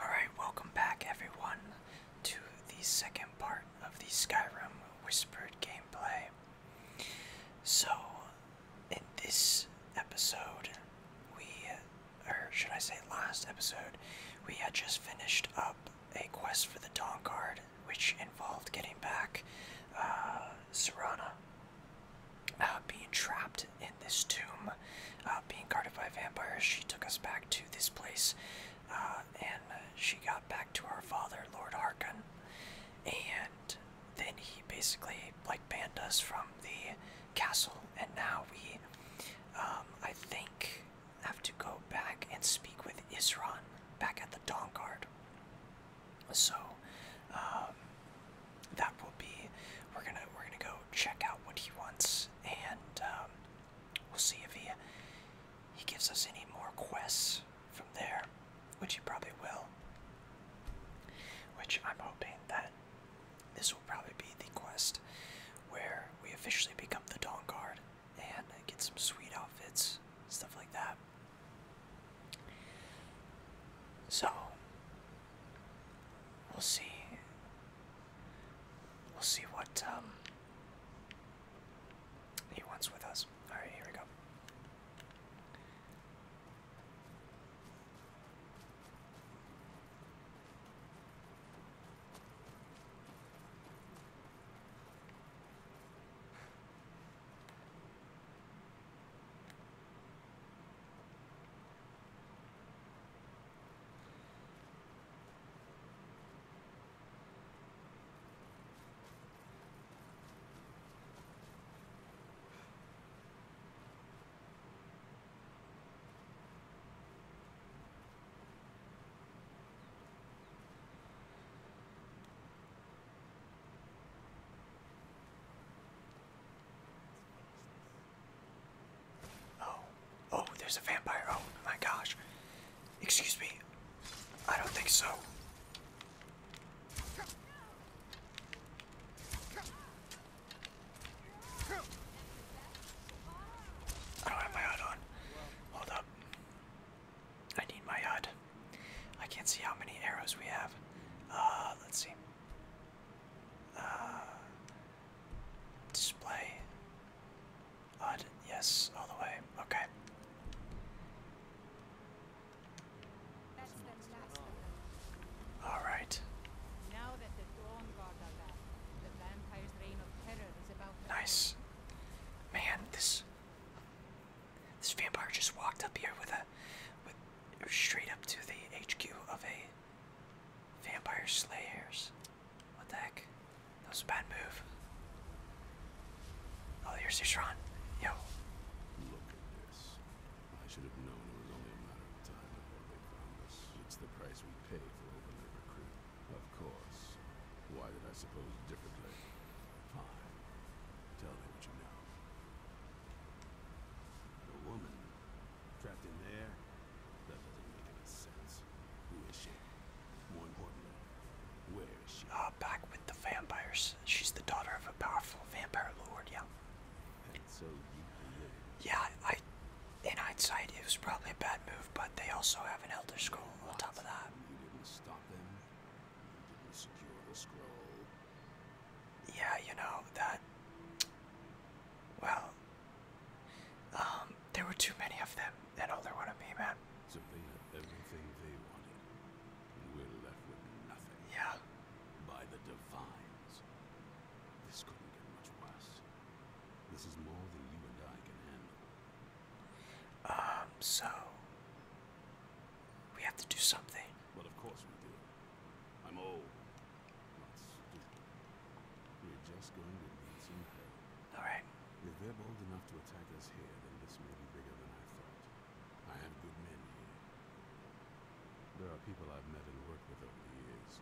Alright, welcome back everyone to the second part of the Skyrim Whispered gameplay. So, in this episode, we, or should I say last episode, we had just finished up a quest for the Dawn Guard, which involved getting back uh, Serana uh, being trapped in this tomb, uh, being guarded by vampires. She took us back to this place, uh, and she got back to our father, Lord Harkon, and then he basically like banned us from the castle, and now we, um, I think, have to go back and speak with Isron back at the Dawn Guard. So, um, that will be we're gonna we're gonna go check out what he wants and um, we'll see if he he gives us any more quests from there, which he probably will. Which I'm hoping that this will probably be the quest where we officially become the Dawn Guard and get some sweet outfits, stuff like that. So, We'll see. We'll see what um, he wants with us. Alright, here we go business. Oh, oh, there's a vampire. Oh my gosh. Excuse me. I don't think so. I don't have my HUD on. Hold up. I need my HUD. I can't see how many arrows we have. Uh, let's see. Uh, display. Yes, all the way. Okay. All right. Nice. Man, this this vampire just walked up here with a with straight up to the HQ of a Vampire Slayers. What the heck? That was a bad move. Oh, here's Ishran. Yo. Look at this. I should have known it was only a matter of time before they found us. It's the price we pay for overnight recruit. Of course. Why did I suppose differently? Fine. Tell me what you know. The woman Trapped in there? That doesn't make any sense. Who is she? Ah, back with the vampires. She's the daughter of a powerful vampire lord, yeah. Yeah, I in hindsight it was probably a bad move, but they also have an elder scroll on top of that yeah, you know, that. Well, um, there were too many of them, and all they wanted me, man. So they everything they wanted, and we left with nothing. Yeah. By the divines. This couldn't get much worse. This is more than you and I can handle. Um, so. We have to do something. But of course we do. I'm old, We're just going to need some help. All right. If they're bold enough to attack us here, then this may be bigger than I thought. I have good men here. There are people I've met and worked with over the years.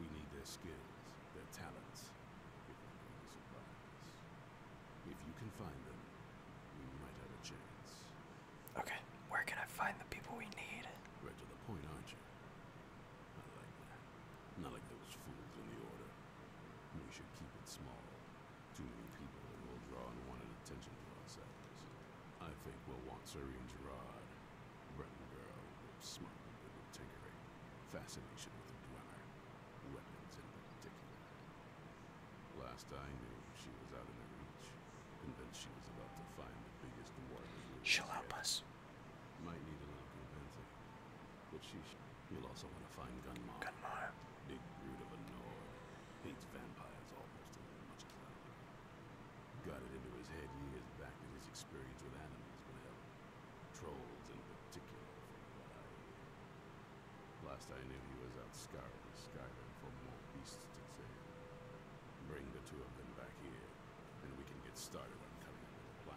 We need their skills, their talents, if If you can find them, we might have a chance. Okay, where can I find the people we need? Right to the point, aren't you? I like that. Not like those fools in the order. We should keep it small. Too many people will draw unwanted attention to ourselves. I think we'll want Suri and Gerard. Breton girl, smart people with tinkering. Fascination with the dweller. Weapons in particular. Last I knew, she was out of her reach she will help us. Might need a little convincing. But she you'll also want to find Gunmar. Gunmar. Big brute of a Nord. Hates vampires almost as much as I do. Got it into his head years back that his experience with animals would help. Trolls in particular, from what I hear. Last I knew he was out scouring Skyrim for more beasts to tame. Bring the two of them back here, and we can get started on coming up with a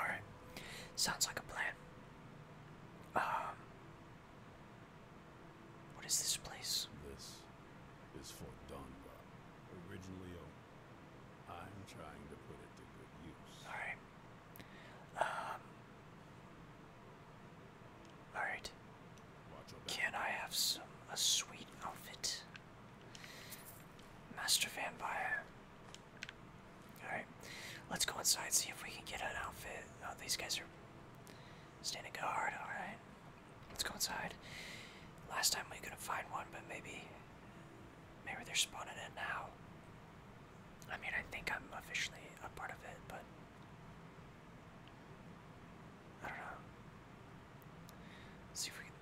Alright. Sounds like a plan. Um What is this place? This is Fort Donba. Originally I'm trying to put it to good use. Alright. Um, Alright. Can I have some a sweet outfit? Master Vampire. Alright. Let's go inside, see if we can get an outfit. Oh, these guys are standing guard, alright. Let's go inside. Last time we couldn't find one, but maybe maybe they're spawning in now. I mean I think I'm officially a part of it, but I don't know. Let's see if we can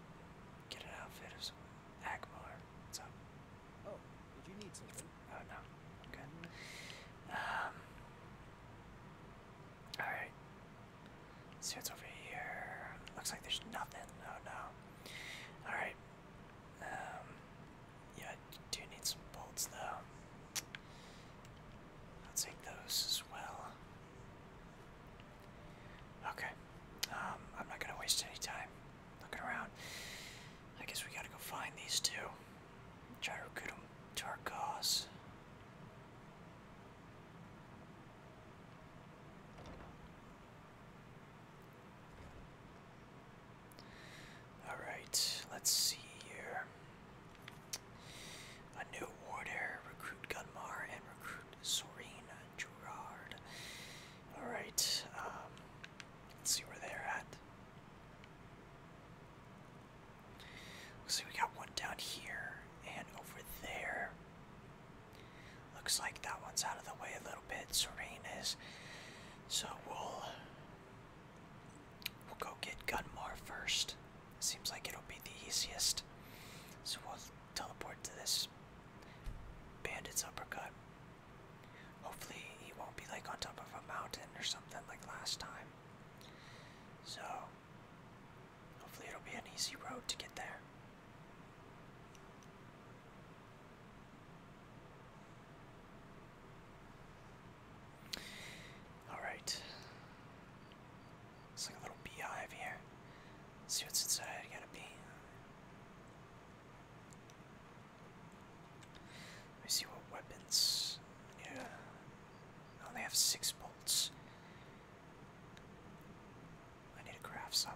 get an outfit of some Agmar. What's up? Oh, did you need something? Oh no. Okay. Mm-hmm. Um Alright. see what's over here. Looks like there's nothing. Oh no. Alright. Um yeah, do need some bolts though. I'll take those as well. Okay. Um, I'm not gonna waste any time looking around. I guess we gotta go find these two. Try to recruit them to our cause. Alright, let's see here. A new warder, recruit Gunmar, and recruit Sorina Gerard. Alright, um, let's see where they're at. Looks like we got one down here and over there. Looks like that one's out of the way a little bit. Serene is. So we'll We'll go get Gunmar first. Seems like it'll be the easiest. So we'll teleport to this bandit's uppercut. Hopefully he won't be like on top of a mountain or something like last time. So hopefully it'll be an easy road to get there. Alright. It's like a little beehive here. Let's see what's inside. I gotta be. Let me see what weapons. Yeah. I only have six bolts. I need to craft some.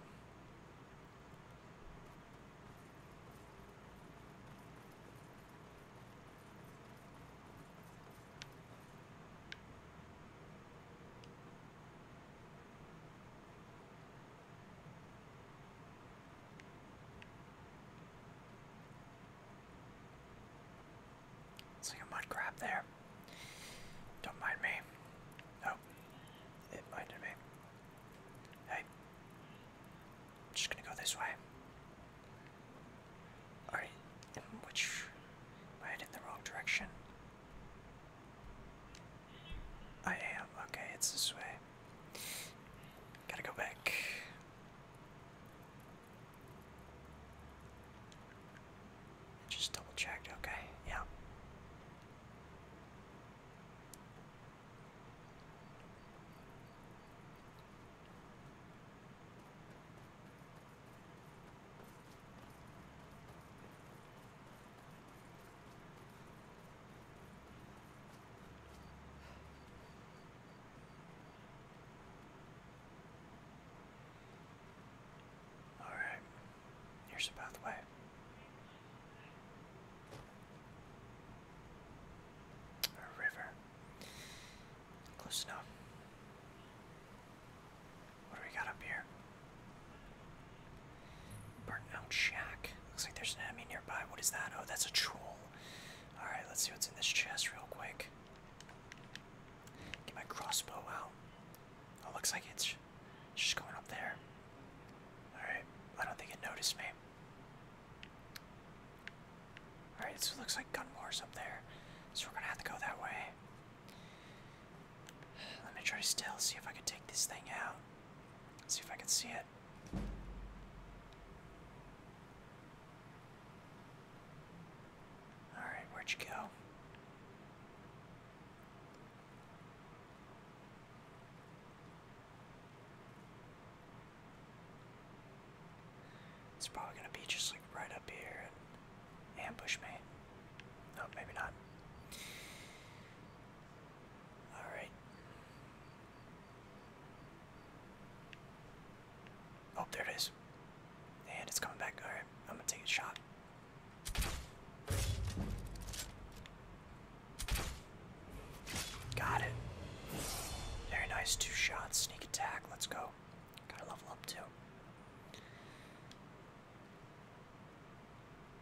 See a mud crab there. Don't mind me. Oh, it minded me. Hey, I'm just gonna go this way. Alright, which am I heading the wrong direction? I am, okay, it's this way. Gotta go back. Just double checked, okay, yeah. All right, here's the pathway. A river. Close enough. What do we got up here? Burnt out shack. Looks like there's an enemy nearby. What is that? Oh, that's a troll. Alright, let's see what's in this chest real quick. Get my crossbow out. Oh, looks like it's just going up there. Alright, I don't think it noticed me. Alright, so it looks like gun war's up there. So we're gonna have to go that way. Let me try to still, see if I can take this thing out. See if I can see it. Alright, where'd you go? It's probably gonna be just like right up here and ambush me. No, maybe not. Alright. Oh, there it is. And it's coming back. Alright, I'm gonna take a shot. Got it. Very nice. Two shots attack, let's go. Gotta level up too.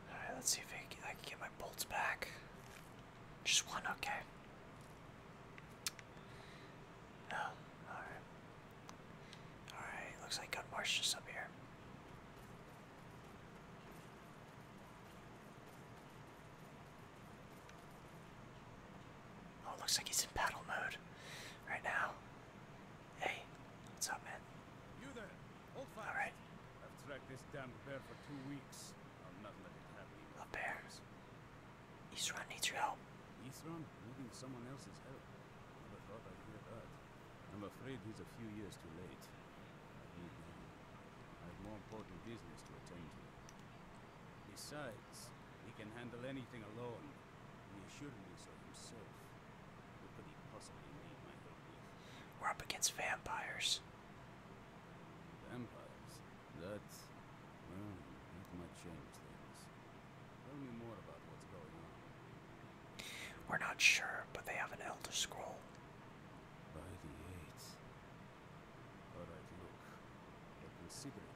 Alright, let's see if I can, get my bolts back. Just one, okay. Oh, alright. Alright, looks like Marsh just up here. Oh, looks like he's in battle mode right now. Hey, what's up, man? You there? Hold fire, All right. I've tracked this damn bear for two weeks. I'll not let it happen. A bear. Eastron needs your help. Eastron needing someone else's help. Never thought I'd hear that. I'm afraid he's a few years too late. I uh, have more important business to attend to. Besides, legs. He can handle anything alone. He assured me so himself. What could he possibly need my We're up against vampires. Vampires? That's... well, that might change things. Tell me more about what's going on. We're not sure, but they have an Elder Scroll. By the eight. All right, look. They're considerate.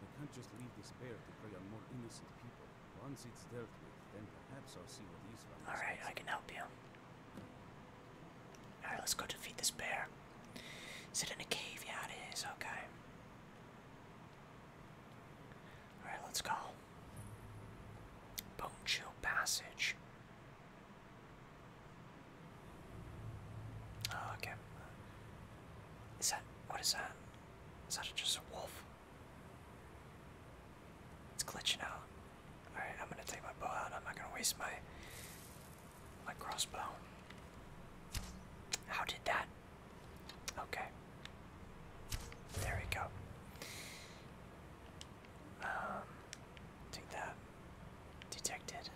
They can't just leave this bear to prey on more innocent people. Once it's dealt with, then perhaps I'll see what these ones All right, I can help you. All right, let's go defeat this bear. Is it in a cave? Yeah, it is. Okay. All right, let's go. Bone chill passage. Oh, okay. Is that. What is that? Is that just a wolf? It's glitching out. Alright, I'm gonna take my bow out. I'm not gonna waste my. my crossbow. How did that? Okay. There we go. Um. Take that. Detected.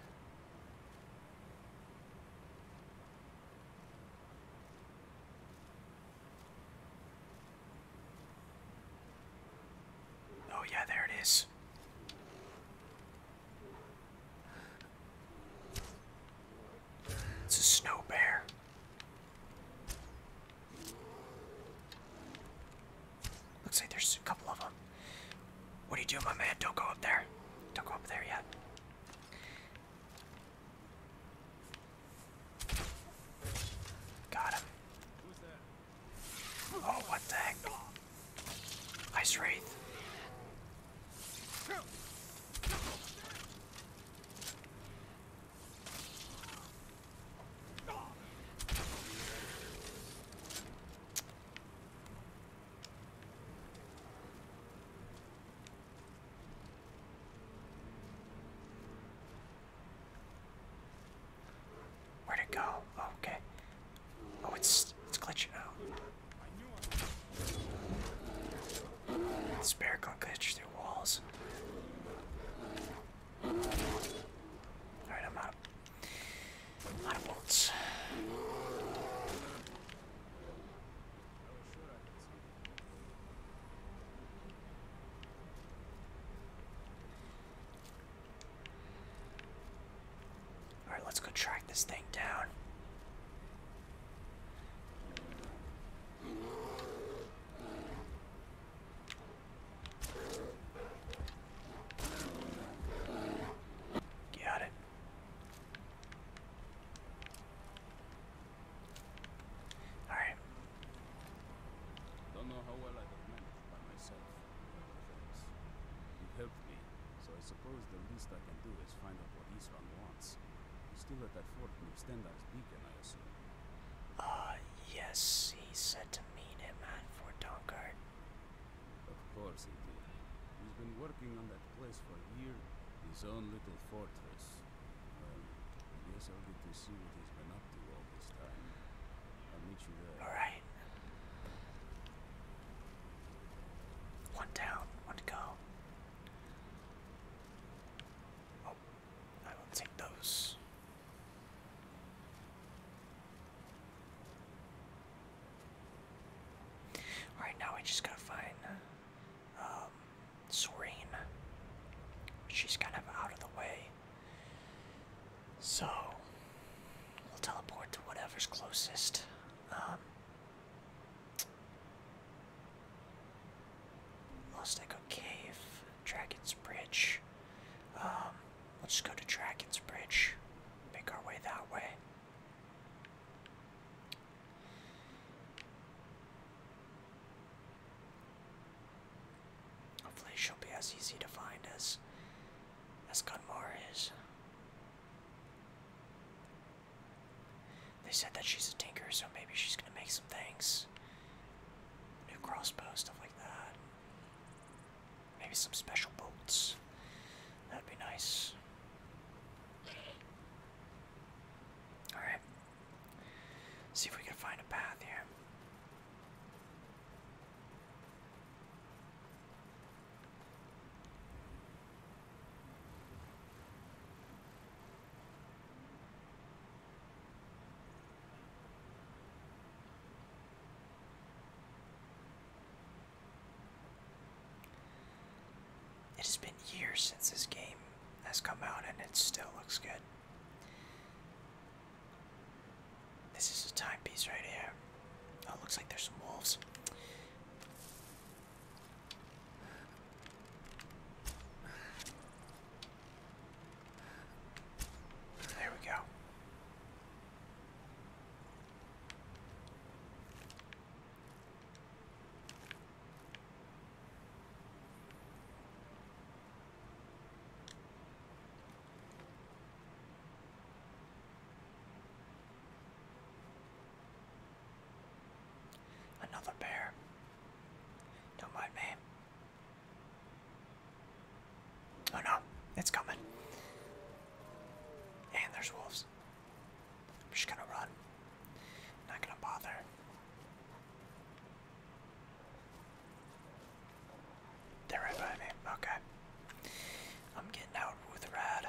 Oh, yeah, there it is. It's a snow bear. Looks like there's a couple of them. What are you doing, my man? Don't go up there. Don't go up there yet. Got him. Oh, what the heck? Ice Wraith. Where'd it go? Oh, okay. Oh, it's it's glitching out. This can glitch through walls. Alright, I'm out. A lot of Alright, let's go track this thing down. Got it. All right. Don't know how well I have managed by myself. You helped me, so I suppose the least I can do is find out what Isran wants. He's still at that fort near Stendar's beacon, I assume. Ah, yes, he said to meet him at Fort Donkard. Of course he did. He's been working on that place for a year, his own little fortress. Well, I guess I'll get to see what he's been up to all this time. I'll meet you there. Alright. One down, one to go. Oh, I will take those. Alright, now I just gotta find um, She's kind of out of the way. So, we'll teleport to whatever's closest. Um, lost Echo Cave, Dragon's Bridge. Um, Let's go to Dragon's Bridge. Make our way that way. Hopefully she'll be as easy to find as as Gunmar is. They said that she's a tinker, so maybe she's gonna make some things. New crossbow, stuff like that. Maybe some special boats. That'd be nice. Alright. See if we can find a path here. It has been years since this game has come out and it still looks good. This is a timepiece right here. Oh, looks like there's some wolves. There we go. Another bear. Don't mind me. Oh no, it's coming. And there's wolves. I'm just gonna run. Not gonna bother. They're right by me. Okay. I'm getting out with Rad.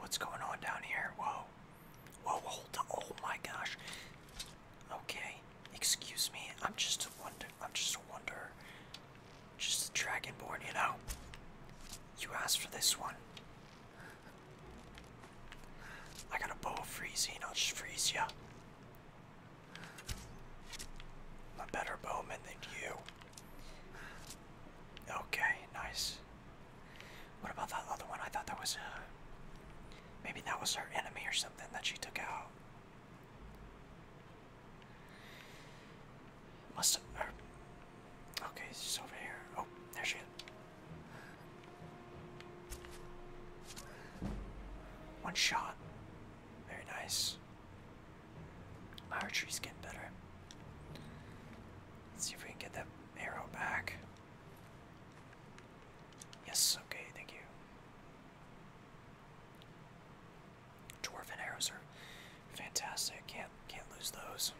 what's going on down here? Whoa. Whoa, hold on. Oh my gosh. Okay. Excuse me. I'm just a wonder. I'm just a wonder. Just a dragonborn, you know? You asked for this one. I got a bow of freezing. I'll just freeze you a better bowman than you. Okay, nice. What about that other one? I thought that was uh, Maybe that was her enemy or something that she took out. Must have. Er, okay, she's over here. Oh, there she is. One shot. Very nice. My archery's getting better. Let's see if we can get that arrow back. Yes, okay, thank you. Dwarven arrows are fantastic. Can't can't lose those.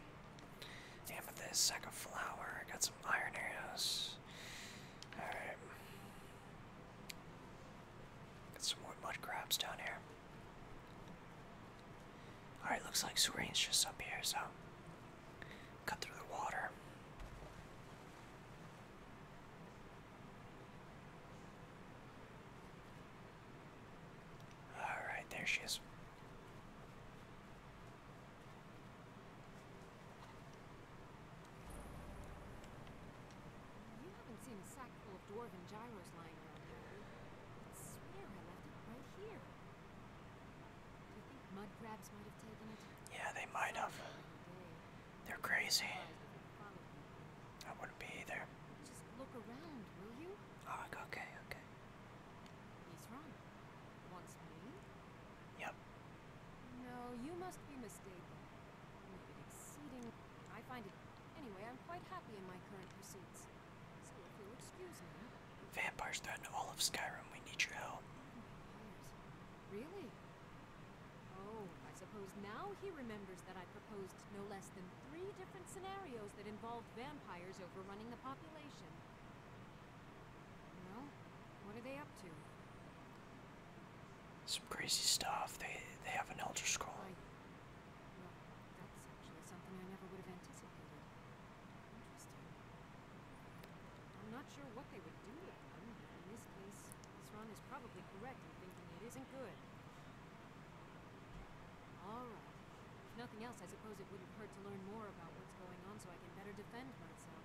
Amethyst, sack of flour. I got some iron arrows. Alright. Got some more mud crabs down here. Alright, looks like Serene's just up here, so cut through the water. Alright, there she is backpack full of gyros lying around here. I swear I left it right here. Yeah, they might have. They're crazy. I wouldn't be either. Just look around, ah, okay, okay. Wants me? Yep. No, you must be mistaken. I find it... Anyway, I'm quite happy in my current pursuits. So if you'll excuse me... Vampires threaten all of Skyrim. We need your help. Really? Oh, I suppose now he remembers that I proposed no less than three different scenarios that involved vampires overrunning the population. Well, what are they up to? Some crazy stuff. They they have an Elder Scroll. I, am not sure what they would do with them, in this case, Sran is probably correct in thinking it isn't good. Alright. If nothing else, I suppose it would have hurt to learn more about what's going on so I can better defend myself.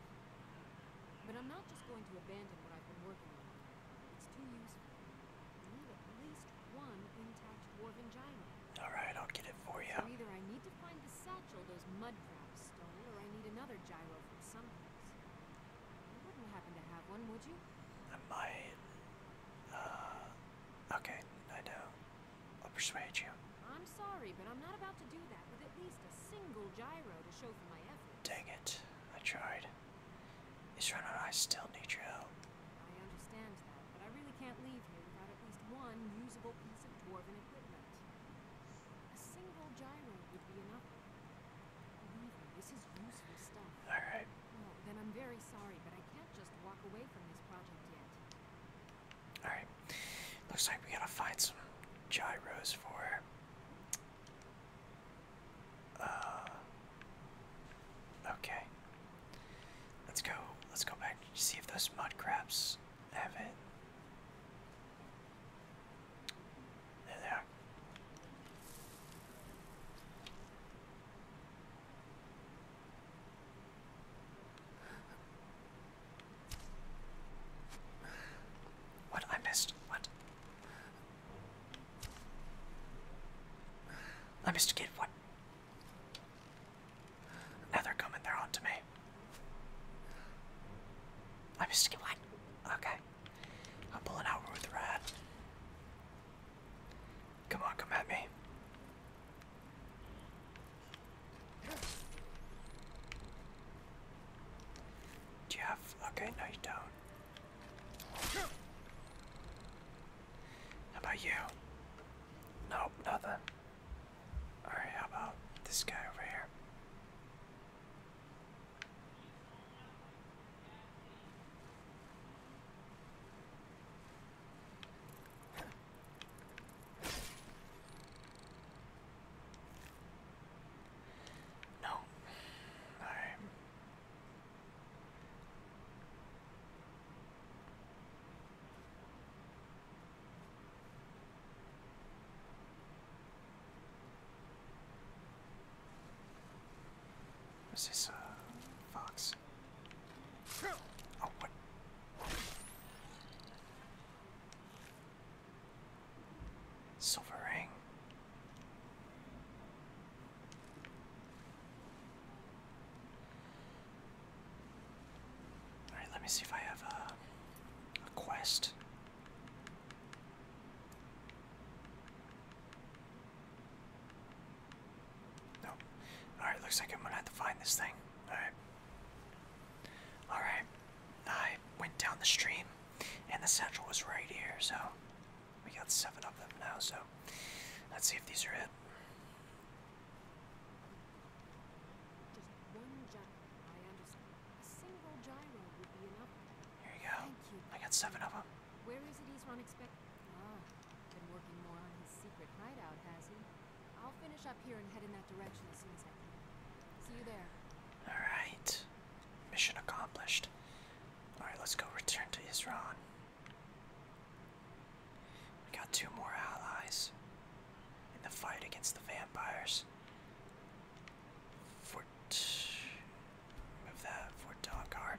But I'm not just going to abandon what I've been working on. I need at least one intact dwarven Alright, I'll get it for you. either I need to find the satchel those mud crabs stole, or I need another gyro from someplace. You wouldn't happen to have one, would you? I am Uh, okay, I know. I'll persuade you. I'm sorry, but I'm not about to do that with at least a single gyro to show for my effort. Dang it. I tried. Is Ron I still need your help? I understand that, but I really can't leave here without at least one usable piece of dwarven equipment. A single gyro would be enough. Alright. Oh, then I'm very sorry, but I can't just walk away from this project yet. Alright. Looks like we gotta find some gyros for uh, okay. Let's go. Let's go back see if those mud crabs have it. There they are. What I missed? What? Let Mr. Kid what? Now they're coming, they're on to me. I missed get what? Okay. I'm pulling out with the rat. Come on, come at me. Do you have okay, no you don't. How about you? Nope, nothing. Alright, how about this guy over here? No. Alright. Is this a fox? Oh, what? Silver ring. Alright, let me see if I have a, quest. Nope. Alright, looks like I'm gonna have to find this thing. Alright. Alright. I went down the stream. And the central was right here, so we got seven of them now, so let's see if these are it. Just single gyro would be enough. Here you go. I got seven of them. Where is it he's unexpected? Ah, been working more on his secret hideout, has he? I'll finish up here and head in that direction as soon as I can. See you there. All right. Mission accomplished. Alright, let's go return to Isran. We got two more allies in the fight against the vampires. Fort. Move that, Fort Dockart.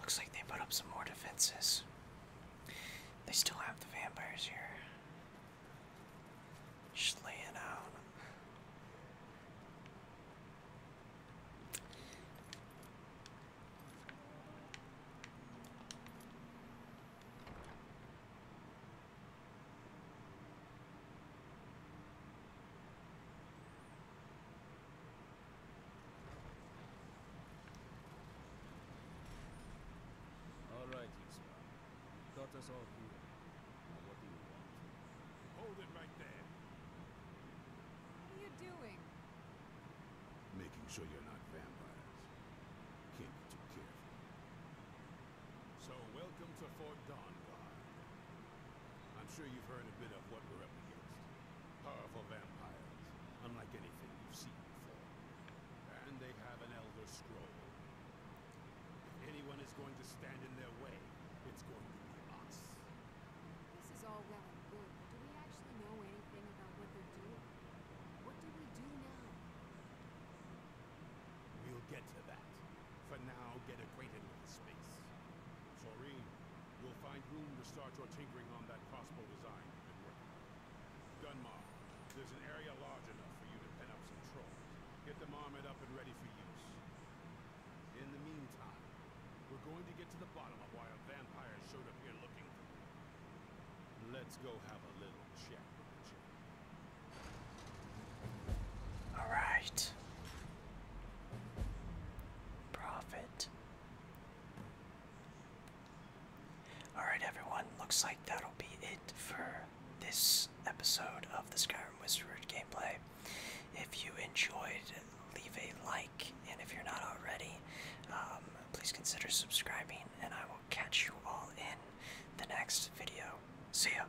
Looks like they put up some more defenses. They still have the vampires here. Just laying out. All right, Yusma. got us all here. Now what do you want? Hold it right there. What are you doing? Making sure you're not vampires. Can't so welcome to Fort Dawnguard. I'm sure you've heard a bit of what we're up against. Powerful vampires, unlike anything you've seen before. And they have an Elder Scroll. If anyone is going to stand in their way, it's going to be us. This is all well and good, do we actually know anything about what they're doing? What do we do now? We'll get to that. For now, get acquainted with the space. Soreen, you'll find room to start your tinkering on that crossbow design you've been working Gunmar, there's an area large enough for you to pen up some trolls. Get them armored up and ready for use. In the meantime, we're going to get to the bottom of why a vampire showed up here looking for you. Let's go have a little chat with the chick. All right. Profit. All right, everyone. Looks like that'll be it for this episode of the Skyrim Whispered gameplay. If you enjoyed, leave a like, and if you're not already, um, please consider subscribing, and I will catch you all in the next video. See ya!